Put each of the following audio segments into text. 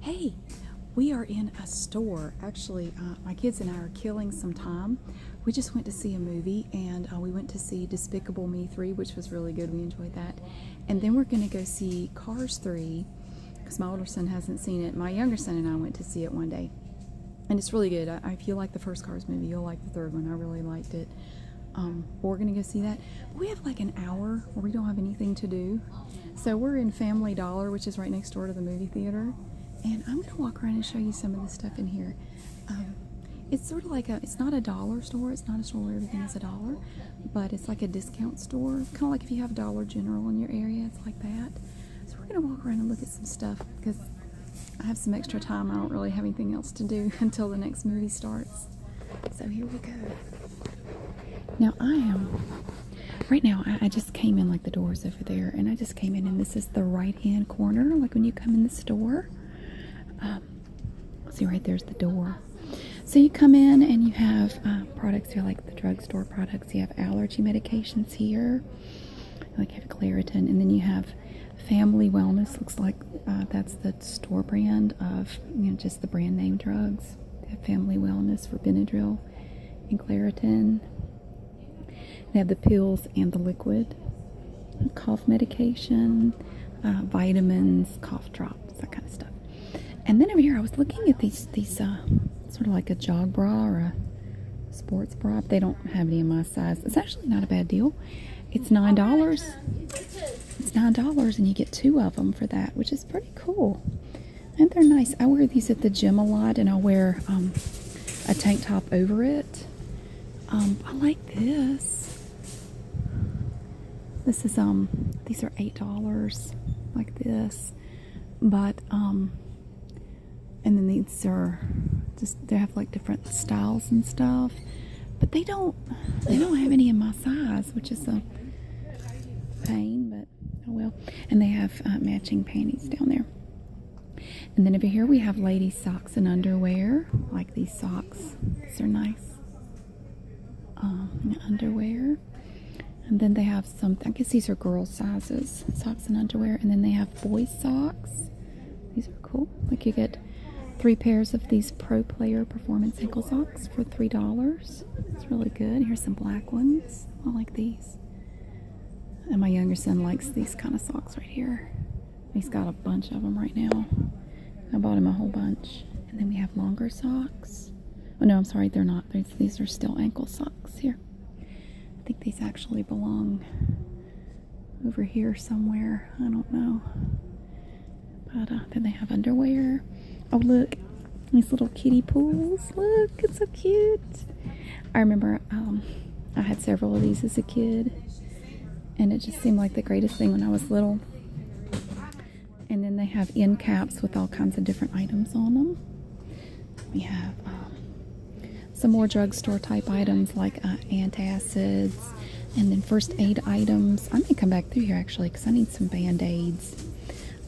Hey, we are in a store. Actually, uh, my kids and I are killing some time. We just went to see a movie and uh, we went to see Despicable Me 3, which was really good. We enjoyed that. And then we're going to go see Cars 3 because my older son hasn't seen it. My younger son and I went to see it one day. And it's really good. I, feel like the first Cars movie, you'll like the third one. I really liked it. Um, we're going to go see that we have like an hour where we don't have anything to do. So we're in Family Dollar, which is right next door to the movie theater. And I'm going to walk around and show you some of the stuff in here. Um, it's sort of like a, it's not a dollar store. It's not a store where everything is a dollar, but it's like a discount store. Kind of like if you have Dollar General in your area, it's like that. So we're going to walk around and look at some stuff because I have some extra time. I don't really have anything else to do until the next movie starts. So here we go. Now I am right now. I, just came in like the doors over there, and I just came in, and this is the right-hand corner, like when you come in the store. Um, see right there's the door. So you come in, and you have uh, products here, like the drugstore products. You have allergy medications here, like you have Claritin, and then you have Family Wellness. Looks like uh, that's the store brand of you know just the brand name drugs. They have Family Wellness for Benadryl and Claritin. They have the pills and the liquid, cough medication, uh, vitamins, cough drops, that kind of stuff. And then over here, I was looking at these these uh, sort of like a jog bra or a sports bra. They don't have any in my size. It's actually not a bad deal. It's nine dollars. It's nine dollars, and you get two of them for that, which is pretty cool. And they're nice. I wear these at the gym a lot, and I'll wear um, a tank top over it. Um, I like this. This is um, these are eight dollars, like this. But um, and then these are just they have like different styles and stuff. But they don't they don't have any in my size, which is a pain, but oh well. And they have uh, matching panties down there. And then over here we have ladies' socks and underwear. like these socks, these are nice. Um, underwear. And then they have some, I guess these are girl sizes, socks and underwear. And then they have boy socks. These are cool. Like you get three pairs of these pro player performance ankle socks for $3. It's really good. Here's some black ones. I like these. And my younger son likes these kind of socks right here. He's got a bunch of them right now. I bought him a whole bunch. And then we have longer socks. Oh no, I'm sorry, they're not. These are still ankle socks here. I think these actually belong over here somewhere. I don't know. But uh, then they have underwear. Oh, look, these little kitty pools. Look, it's so cute. I remember um, I had several of these as a kid, and it just seemed like the greatest thing when I was little. And then they have end caps with all kinds of different items on them. We have um, some more drugstore type items like uh, antacids and then first aid items. I may come back through here actually because I need some band-aids.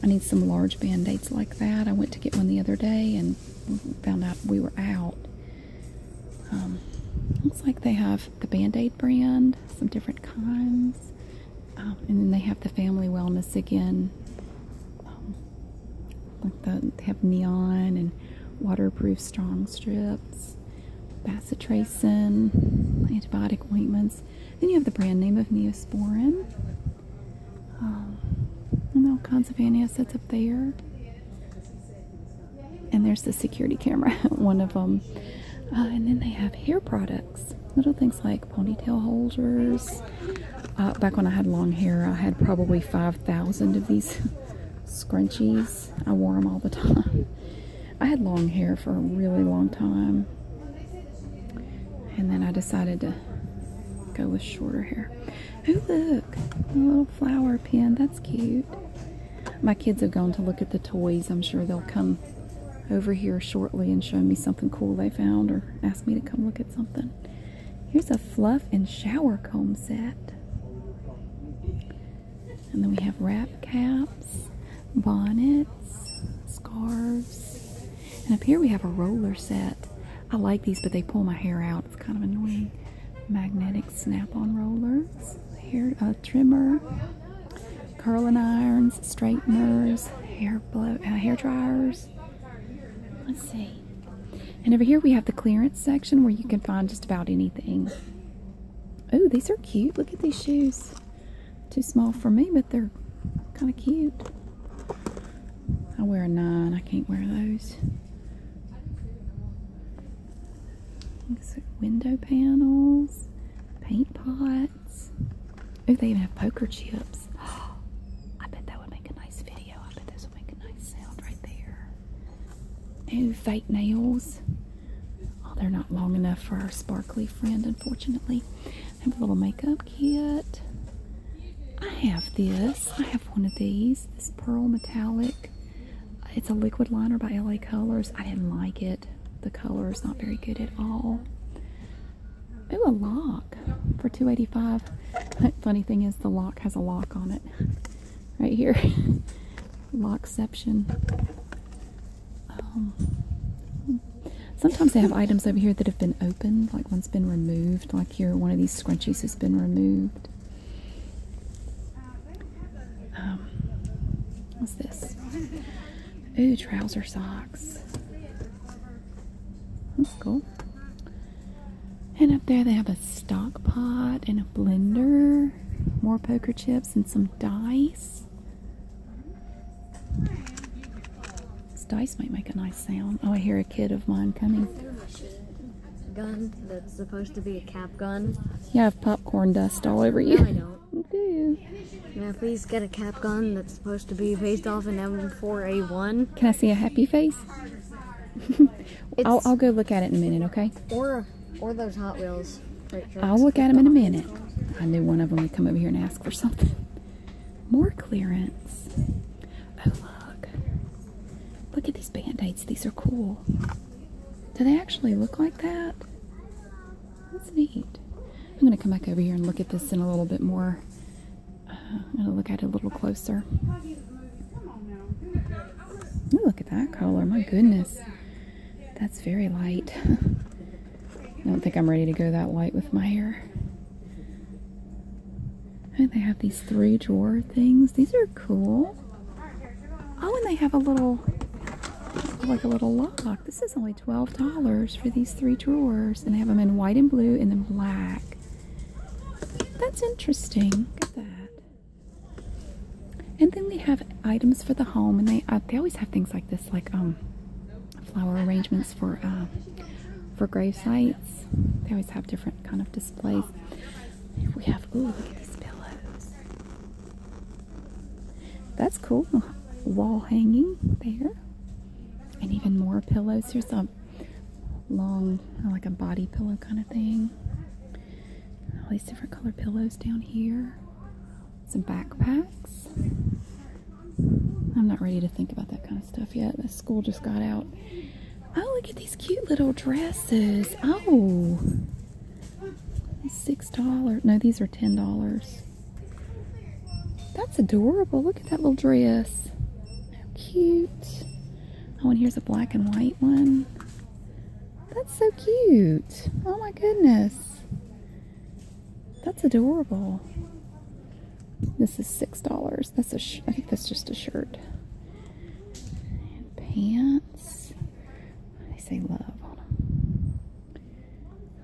I need some large band-aids like that. I went to get one the other day and found out we were out. Um, looks like they have the band-aid brand, some different kinds. Um, and then they have the family wellness again. Um, like the, they have neon and waterproof strong strips, bacitracin, antibiotic ointments. Then you have the brand name of Neosporin. and all kinds of antacids up there. And there's the security camera, one of them. Uh, and then they have hair products. Little things like ponytail holders. Uh, back when I had long hair, I had probably 5,000 of these scrunchies. I wore them all the time. I had long hair for a really long time. And then I decided to go with shorter hair. Oh, look. A little flower pin. That's cute. My kids have gone to look at the toys. I'm sure they'll come over here shortly and show me something cool they found or ask me to come look at something. Here's a fluff and shower comb set. And then we have wrap caps, bonnets, scarves. And up here we have a roller set. I like these, but they pull my hair out. It's kind of annoying. Magnetic snap-on rollers, Here, a uh, trimmer, curling irons, straighteners, hair blow, uh, hair dryers. Let's see. And over here we have the clearance section where you can find just about anything. Oh, these are cute. Look at these shoes. Too small for me, but they're kind of cute. I wear a nine. I can't wear those. window panels, paint pots. Oh, they even have poker chips. Oh, I bet that would make a nice video. I bet this would make a nice sound right there. No fake nails. Oh, they're not long enough for our sparkly friend, unfortunately. I have a little makeup kit. I have this. I have one of these. This pearl metallic. It's a liquid liner by LA Colors. I didn't like it. The color is not very good at all. Ooh, a lock for 285 Funny thing is the lock has a lock on it right here. Lock Um, sometimes they have items over here that have been opened, like one's been removed, like here one of these scrunchies has been removed. Um, what's this? Ooh, trouser socks. That's cool. And up there they have a stock pot and a blender, more poker chips and some dice. This dice might make a nice sound. Oh, I hear a kid of mine coming. Gun that's supposed to be a cap gun. You have popcorn dust all over you. No, I don't. Do you? Now please get a cap gun that's supposed to be based off an M4A1. Can I see a happy face? I'll, go look at it in a minute, okay? or those Hot Wheels. I'll look at them in a minute. I knew one of them would come over here and ask for something. More clearance. Oh, look. Look at these band-aids. These are cool. Do they actually look like that? That's neat. I'm going to come back over here and look at this in a little bit more. Uh, I'm going to look at it a little closer. look at that color. My goodness. That's very light. I don't think I'm ready to go that white with my hair. And they have these three drawer things. These are cool. Oh, and they have a little, like a little lock. This is only $12 for these three drawers. And they have them in white and blue and then black. That's interesting. Look at that. And then we have items for the home, and they uh, they always have things like this, like um, flower arrangements for uh, for grave sites. They always have different kind of displays. We have ooh, look at these pillows. That's cool. Wall hanging there, and even more pillows. here. Some long, like a body pillow kind of thing all these different color pillows down here. Some backpacks. I'm not ready to think about that kind of stuff yet. The school just got out. Oh, look at these cute little dresses. Oh, six dollars. No, these are ten dollars. That's adorable. Look at that little dress. How cute. Oh, and here's a black and white one. That's so cute. Oh my goodness. That's adorable. This is $6. That's a I think that's just a shirt. And pants. They say love on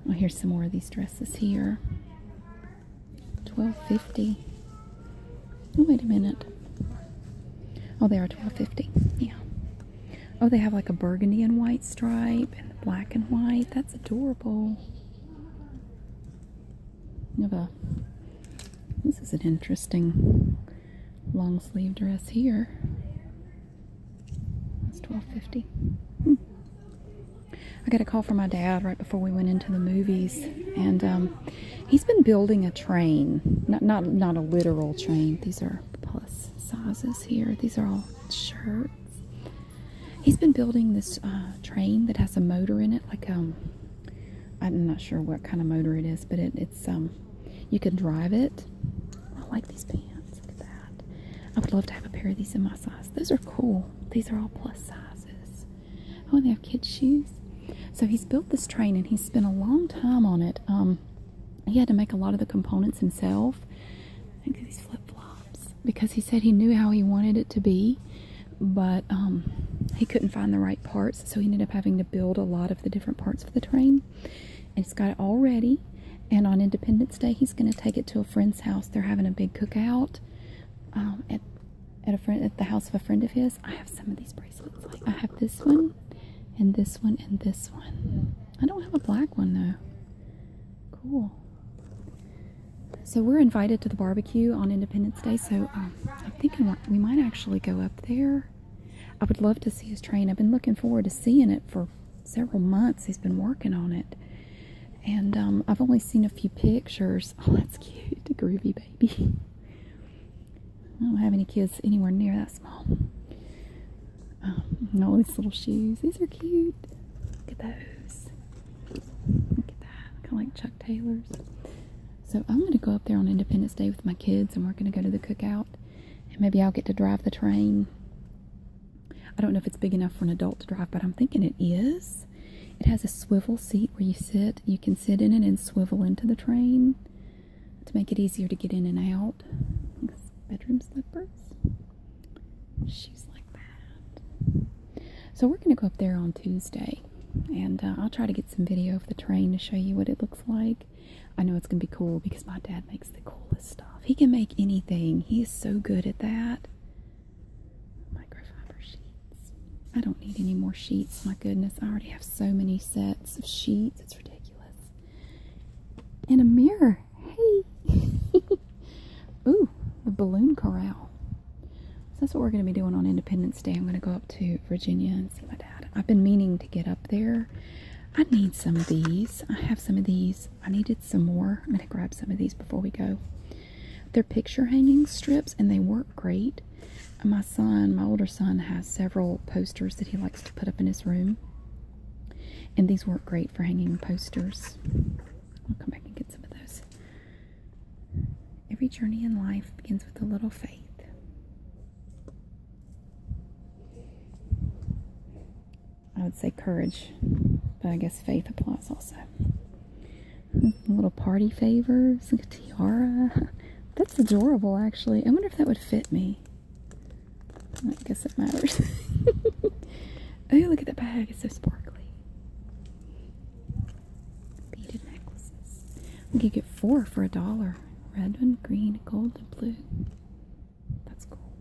Oh, here's some more of these dresses here. 12.50. Oh, wait a minute. Oh, they are 12.50. Yeah. Oh, they have like a burgundy and white stripe and black and white. That's adorable. A, this is an interesting long sleeve dress here. That's twelve fifty. Hmm. I got a call from my dad right before we went into the movies, and um, he's been building a train. Not not not a literal train. These are plus sizes here. These are all shirts. He's been building this uh, train that has a motor in it, like um, I'm not sure what kind of motor it is, but it, it's um, you can drive it. I like these pants. Look at that. I would love to have a pair of these in my size. Those are cool. These are all plus sizes. Oh, and they have kids' shoes. So he's built this train and he's spent a long time on it. Um, he had to make a lot of the components himself. I think these flip flops because he said he knew how he wanted it to be, but um, he couldn't find the right parts, so he ended up having to build a lot of the different parts for the train. And he's got it all ready. And on Independence Day, he's going to take it to a friend's house. They're having a big cookout um, at at a friend at the house of a friend of his. I have some of these bracelets like I have this one and this one and this one. I don't have a black one though. Cool. So we're invited to the barbecue on Independence Day, so um, I'm thinking we might actually go up there. I would love to see his train. I've been looking forward to seeing it for several months. He's been working on it. And um, I've only seen a few pictures. Oh, that's cute. groovy baby. I don't have any kids anywhere near that small. Um, and all these little shoes. These are cute. Look at those. Look at that. Kind of like Chuck Taylor's. So I'm going to go up there on Independence Day with my kids and we're going to go to the cookout. And maybe I'll get to drive the train. I don't know if it's big enough for an adult to drive, but I'm thinking it is. It has a swivel seat where you sit. You can sit in it and swivel into the train to make it easier to get in and out. Bedroom slippers, shoes like that. So we're going to go up there on Tuesday, and uh, I'll try to get some video of the train to show you what it looks like. I know it's going to be cool because my dad makes the coolest stuff. He can make anything. He is so good at that. Microfiber sheets. I don't need any more sheets. My goodness, I already have so many sets of sheets ridiculous. in a mirror. Hey. Ooh, the balloon corral. So that's what we're going to be doing on Independence Day. I'm going to go up to Virginia and see my dad. I've been meaning to get up there. I need some of these. I have some of these. I needed some more. I'm going to grab some of these before we go. They're picture hanging strips and they work great. My son, my older son, has several posters that he likes to put up in his room, and these work great for hanging posters. I'll come back and get some of those. Every journey in life begins with a little faith. I would say courage, but I guess faith applies also. little party favors, like a tiara. That's adorable, actually. I wonder if that would fit me. I guess it matters. oh, look at that bag. It's so sparkly. Beaded necklaces. We could get four for a dollar. Red and green, gold, and blue. That's cool.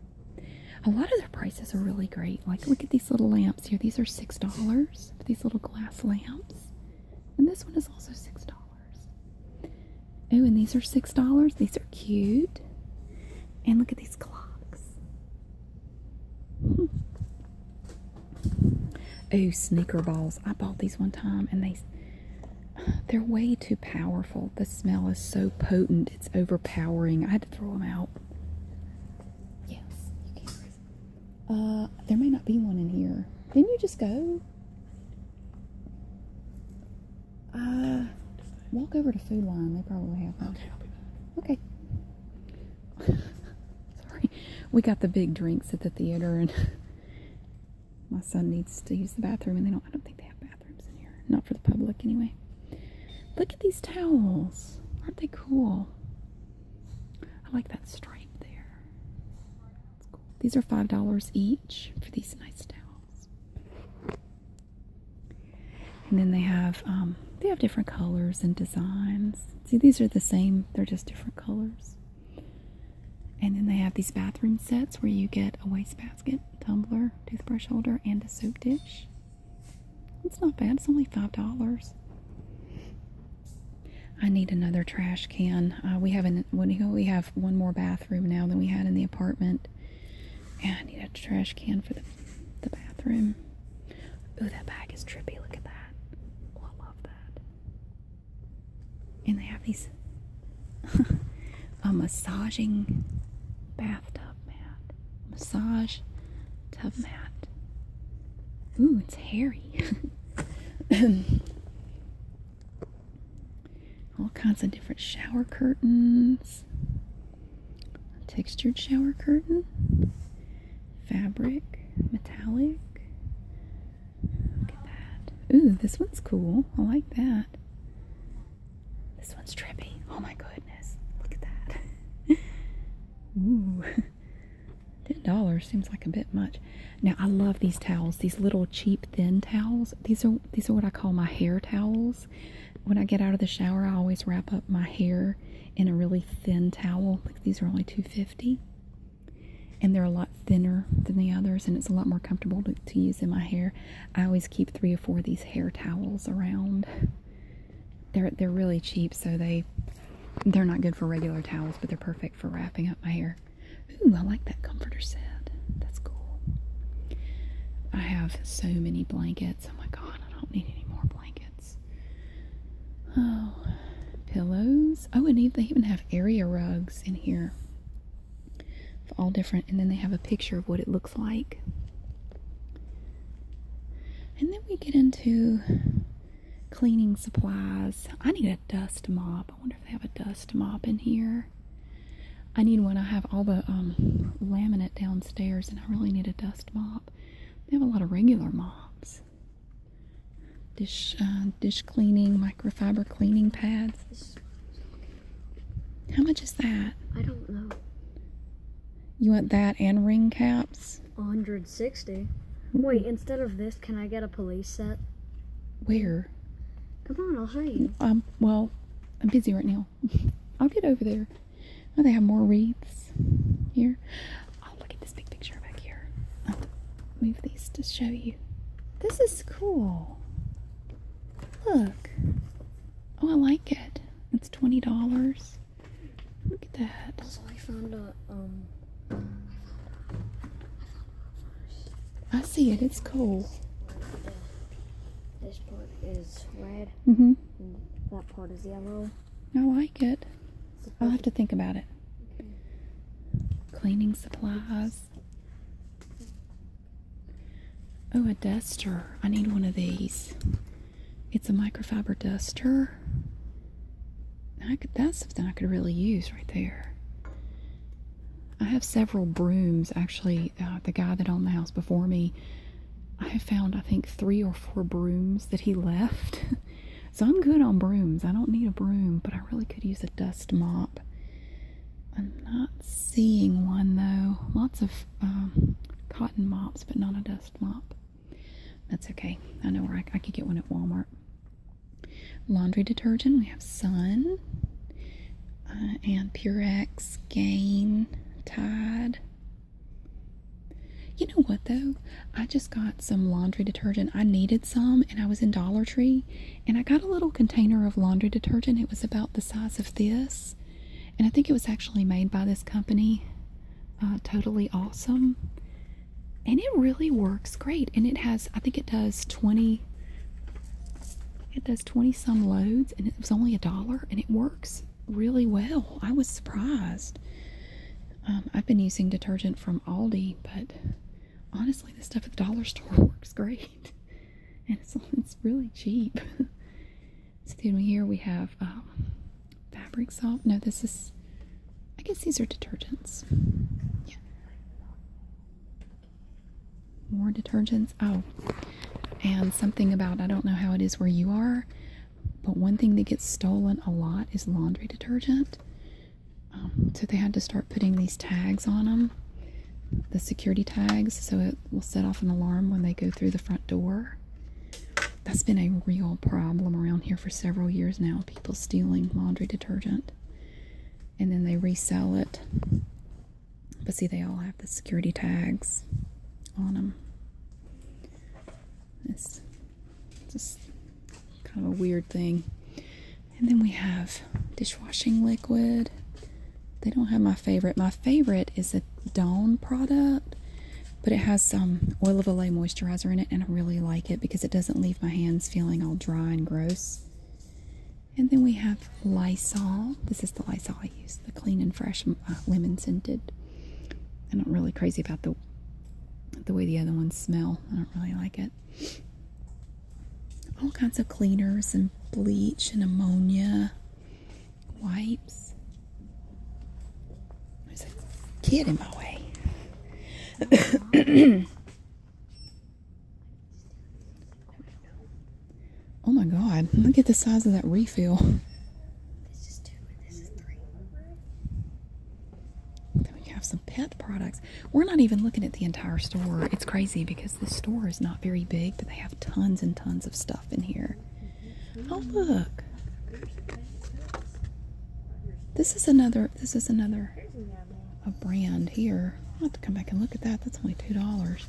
A lot of their prices are really great. Like, look at these little lamps here. These are $6 these little glass lamps. And this one is also $6. Oh, and these are six dollars. These are cute. And look at these clocks. Oh, sneaker balls. I bought these one time and they they're way too powerful. The smell is so potent, it's overpowering. I had to throw them out. Yes, Uh, there may not be one in here. Didn't you just go? Uh, walk over to Food Line. They probably have one. Okay, Okay. Sorry. We got the big drinks at the theater, and my son needs to use the bathroom, and they don't, I don't think they have bathrooms in here. Not for the public, anyway. Look at these towels. Aren't they cool? I like that stripe there. These are five dollars each for these nice towels. And then they have um, they have different colors and designs. See, these are the same; they're just different colors. And then they have these bathroom sets where you get a wastebasket, tumbler, toothbrush holder, and a soap dish. It's not bad. It's only five dollars. I need another trash can. Uh, we have we have one more bathroom now than we had in the apartment. And I need a trash can for the bathroom. Oh, that bag is trippy. Look at that. Oh, I love that. And they have these a massaging bathtub mat, massage tub mat. Ooh, it's hairy. All kinds of different shower curtains. textured shower curtain. Fabric. Metallic. Look at that. Ooh, this one's cool. I like that. This one's trippy. Oh my goodness. Look at that. Ooh. $10 seems like a bit much. Now I love these towels, these little cheap thin towels. These are these are what I call my hair towels. When I get out of the shower, I always wrap up my hair in a really thin towel. these are only 250 and they're a lot thinner than the others and it's a lot more comfortable to, to use in my hair. I always keep 3 or 4 of these hair towels around. They're they're really cheap so they they're not good for regular towels, but they're perfect for wrapping up my hair. Ooh, I like that comforter set. That's cool. I have so many blankets. Oh my god, I don't need any more blankets. Oh, pillows. Oh, and they even have area rugs in here. All different, and then they have a picture of what it looks like. And then we get into cleaning supplies. I need a dust mop. I wonder if they have a dust mop in here. I need one. I have all the um, laminate downstairs, and I really need a dust mop. They have a lot of regular mops. Dish, uh, dish cleaning, microfiber cleaning pads. How much is that? I don't know. You want that and ring caps? 100 Sixty. Hmm. Wait, instead of this, can I get a police set? Where? Come on, I'll show you. Um, well, I'm busy right now. I'll get over there. Oh, they have more wreaths here. Oh, look at this big picture back here. I'll move these to show you. This is cool. Look. Oh, I like it. It's $20. Look at that. Also, I found a, um, I see it. It's cool. This part is red. Mm-hmm. That part is yellow. I like it. I'll have to think about it. Cleaning supplies. Oh, a duster. I need one of these. It's a microfiber duster that's something I could really use right there. I have several brooms. Actually, uh, the guy that owned the house before me, I found, I think, three or four brooms that he left. so I'm good on brooms. I don't need a broom, but I really could use a dust mop. I'm not seeing one, though. Lots of um, cotton mops, but not a dust mop. That's okay. I know where I, could get one at Walmart. Laundry detergent. We have Sun uh, and Purex, Gain, Tide. You know what though? I just got some laundry detergent. I needed some and I was in Dollar Tree and I got a little container of laundry detergent. It was about the size of this. And I think it was actually made by this company, uh, Totally Awesome and it really works great and it has i think it does 20 it does 20 some loads and it was only a dollar and it works really well i was surprised um, i've been using detergent from aldi but honestly the stuff at the dollar store works great and it's, it's really cheap so then here we have um, fabric salt. No, this is. I guess these are detergents. More detergents. Oh, and something about I don't know how it is where you are, but one thing that gets stolen a lot is laundry detergent. Um, so they had to start putting these tags on them, the security tags, so it will set off an alarm when they go through the front door. That's been a real problem around here for several years now people stealing laundry detergent and then they resell it. But see, they all have the security tags on them. This just kind of a weird thing. And then we have dishwashing liquid. They don't have my favorite. My favorite is a Dawn product but it has some oil of Olay moisturizer in it, and I really like it because it doesn't leave my hands feeling all dry and gross. And then we have Lysol. This is the Lysol I use, the clean and fresh uh, lemon scented. I'm not really crazy about the the way the other ones smell. I don't really like it. All kinds of cleaners and bleach and ammonia wipes. There's a kid in my way. oh my god, look at the size of that refill. Then we have some pet products. We're not even looking at the entire store. It's crazy because this store is not very big, but they have tons and tons of stuff in here. Oh, look. This is another. This is another. A brand here. i have to come back and look at that. That's only two dollars.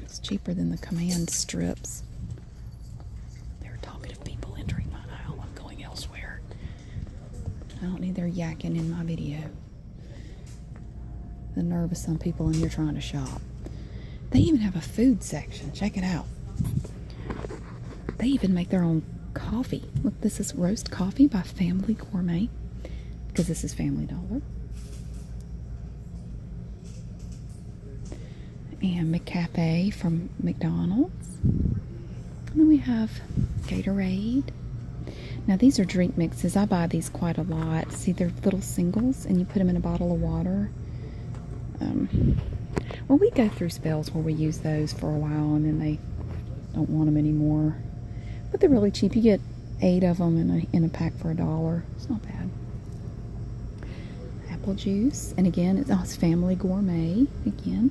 It's cheaper than the command strips. They're talking to people entering my aisle. I'm going elsewhere. I don't need their yakking in my video. The nerve of some people, and you're trying to shop. They even have a food section. Check it out. They even make their own coffee. Look, this is roast coffee by Family Gourmet because this is Family Dollar. And McCafe from McDonald's. And then we have Gatorade. Now, these are drink mixes. I buy these quite a lot. See, they're little singles, and you put them in a bottle of water, um, well, we go through spells where we use those for a while and then they don't want them anymore. But they're really cheap. You get eight of them in a, pack for a dollar. It's not bad. Apple juice. And again, it's, oh, Family Gourmet again.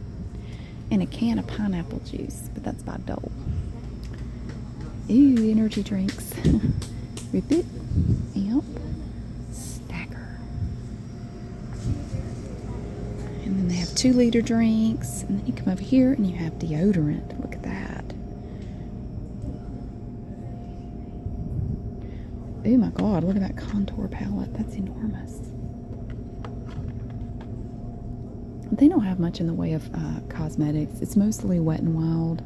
And a can of pineapple juice, but that's by Dole. Ooh, energy drinks. Rip it. Amp. Stacker. And then they have two liter drinks. And then you come over here and you have deodorant. Look at that. Oh my god, look at that contour palette. That's enormous. They don't have much in the way of uh, cosmetics. It's mostly wet and wild.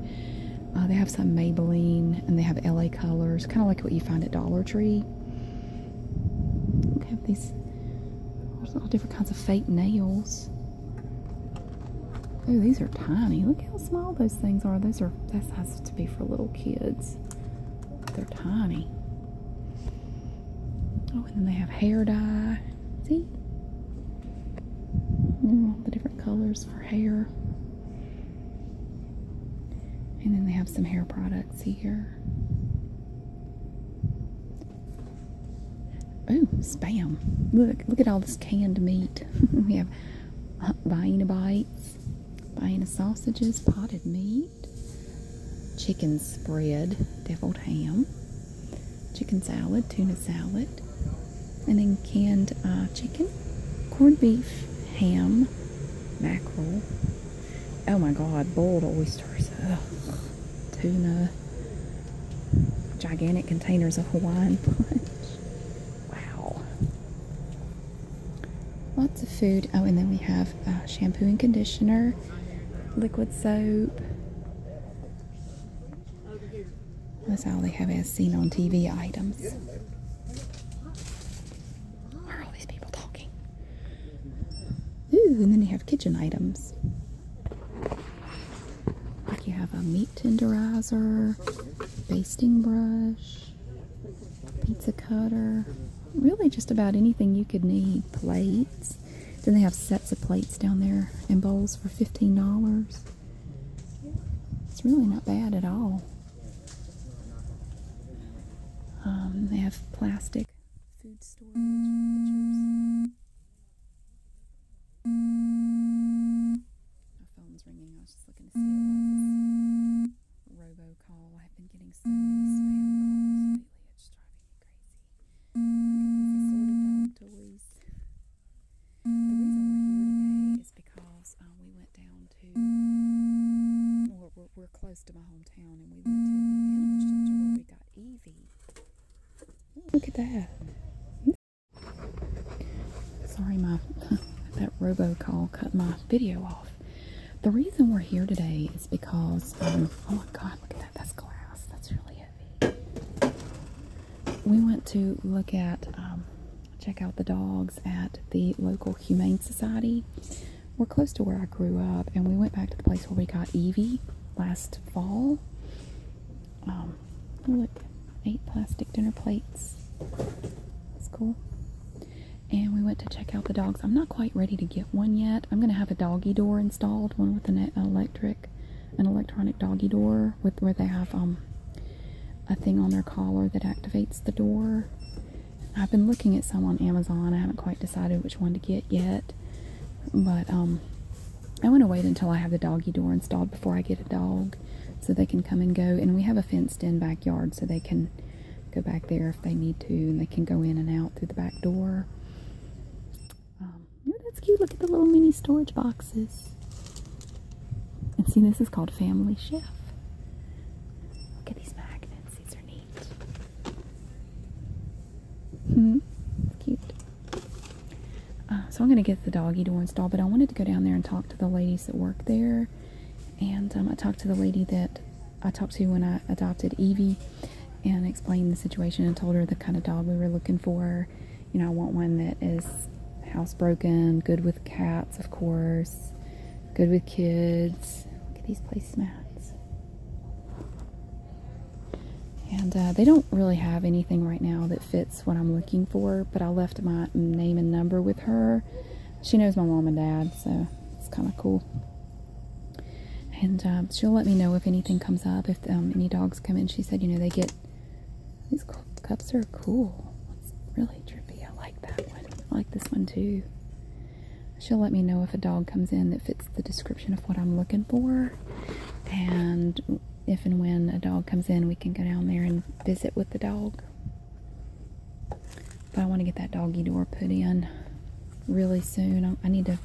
Uh, they have some Maybelline and they have LA colors, kind of like what you find at Dollar Tree. have these all different kinds of fake nails. Oh, these are tiny. Look how small those things are. Those are that size to be for little kids. They're tiny. Oh, and then they have hair dye. See? Mm, the different colors for hair. And then they have some hair products here. Oh, spam. Look, look at all this canned meat. we have uh, Vienna bites, Vienna sausages, potted meat, chicken spread, deviled ham, chicken salad, tuna salad, and then canned uh, chicken, corned beef, ham, mackerel. Oh my god, boiled oysters. Tuna. Gigantic containers of Hawaiian punch. Wow. Lots of food. Oh, and then we have uh, shampoo and conditioner, liquid soap. That's all they have as seen on TV items. Why are all these people talking? Ooh, and then you have kitchen items. Like you have a meat tenderizer, basting brush, pizza cutter, really just about anything you could need. Plates. Then they have sets of plates down there and bowls for $15. It's really not bad at all. Um, they have plastic food storage My phone's ringing. I was just looking to see it was. It's robocall. I've been getting so many spam calls lately. It's driving me crazy. Look at these assorted dog toys. The reason we're here today Mm-hmm. because um, we went down to, or we're, close to my hometown, and we went to the animal shelter where we got Evie. Look at that. Sorry, my that call cut my video off. The reason we're here today is because, um, oh my god, look at that, that's glass, that's really heavy. We went to look at um, check out the dogs at the local Humane Society. We're close to where I grew up, and we went back to the place where we got Evie last fall. Um, oh, look, eight plastic dinner plates. That's cool. And we went to check out the dogs. I'm not quite ready to get one yet. I'm going to have a doggie door installed, one with an electric, an electronic doggie door with where they have um, a thing on their collar that activates the door. I've been looking at some on Amazon. I haven't quite decided which one to get yet. But um, I want to wait until I have the doggy door installed before I get a dog so they can come and go. And we have a fenced in backyard so they can go back there if they need to and they can go in and out through the back door. oh, that's cute. Look at the little mini storage boxes. And see, this is called Family Chef. Look at these magnets. These are neat. Hmm. cute. Uh, so I'm going to get the doggie to install, but I wanted to go down there and talk to the ladies that work there. And um, I talked to the lady that I talked to when I adopted Evie and explained the situation and told her the kind of dog we were looking for. You know, I want one that is housebroken, good with cats of course. Good with kids. Look at these placemats. And uh, they don't really have anything right now that fits what I'm looking for, but I left my name and number with her. She knows my mom and dad, so it's kind of cool. And um, she'll let me know if anything comes up, if um, any dogs come in. She said, you know, they get these cups are cool. It's really trippy. I like that one. I like this one too. She'll let me know if a dog comes in that fits the description of what I'm looking for. And if and when a dog comes in, we can go down there and visit with the dog. But I want to get that doggy door put in really soon. I need to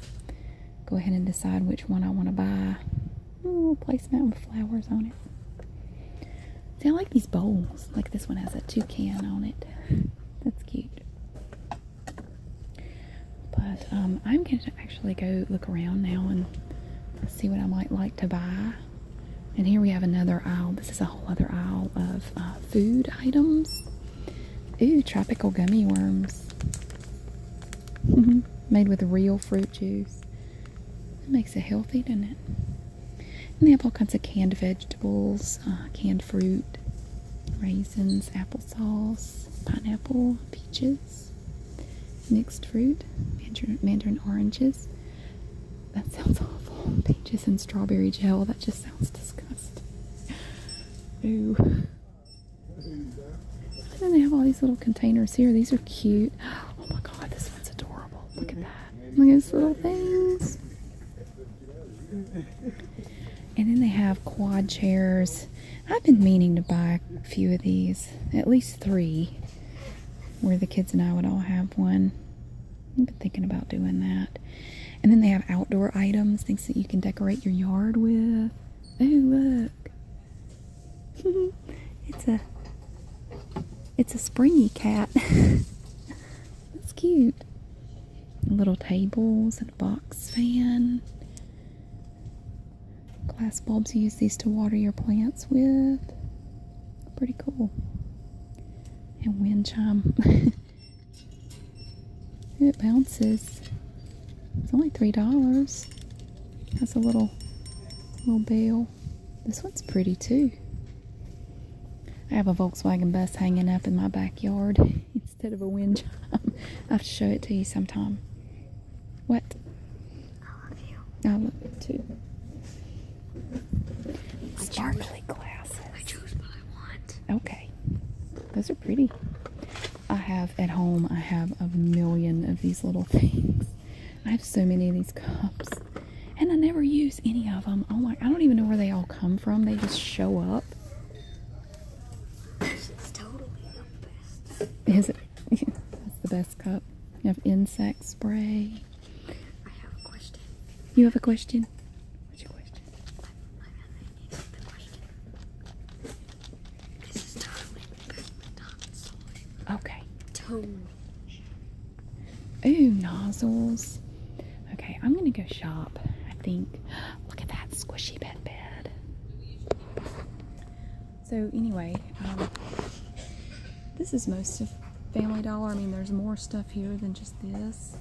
go ahead and decide which one I want to buy. Ooh, placemat with flowers on it. See, I like these bowls. Like this one has a toucan on it. That's cute. But um, I'm going to actually go look around now and see what I might like to buy. And here we have another aisle. This is a whole other aisle of uh, food items. Ooh, tropical gummy worms. Made with real fruit juice. It makes it healthy, doesn't it? they have all kinds of canned vegetables, uh, canned fruit, raisins, applesauce, pineapple, peaches, mixed fruit, mandarin, mandarin oranges. That sounds awful. Peaches and strawberry gel. That just sounds disgusting. Ooh. And then they have all these little containers here. These are cute. Oh my god, this one's adorable look at that. Look at these little things. And then they have quad chairs. I've been meaning to buy a few of these, at least three, where the kids and I would all have one. I've been thinking about doing that. And then they have outdoor items, things that you can decorate your yard with. Oh, look. it's a it's a springy cat. That's cute. Little tables and a box fan. Glass bulbs. You use these to water your plants with. Pretty cool. And wind chime. it bounces. It's only three dollars. Has a little little bell. This one's pretty too. I have a Volkswagen bus hanging up in my backyard instead of a wind chime. I will show it to you sometime. What? I love you. I love you too. I Sparkly chose, glasses. I choose what I want. Okay. Those are pretty. I have at home, I have a million of these little things. I have so many of these cups. And I never use any of them. Oh my, I don't even know where they all come from. They just show up. Is it? That's the best cup. You have insect spray. I have a question. You have a question? What's your question? This is totally the best Okay. Ooh, nozzles. Okay, I'm gonna go shop. I think. Look at that squishy bed bed. So anyway, um, this is most of Family Dollar. I mean, there's more stuff here than just this.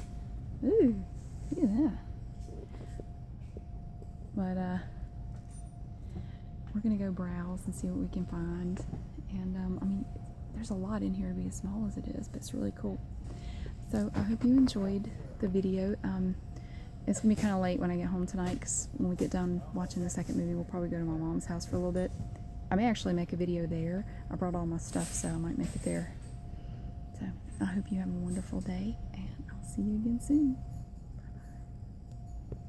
Ooh, look at that. But uh, we're gonna go browse and see what we can find. And um, I mean, there's a lot in here to be as small as it is, but it's really cool. So I hope you enjoyed the video. Um, it's gonna be kind of late when I get home tonight because when we get done watching the second movie, we'll probably go to my mom's house for a little bit. I may actually make a video there. I brought all my stuff, so I might make it there. So I hope you have a wonderful day, and I'll see you again soon.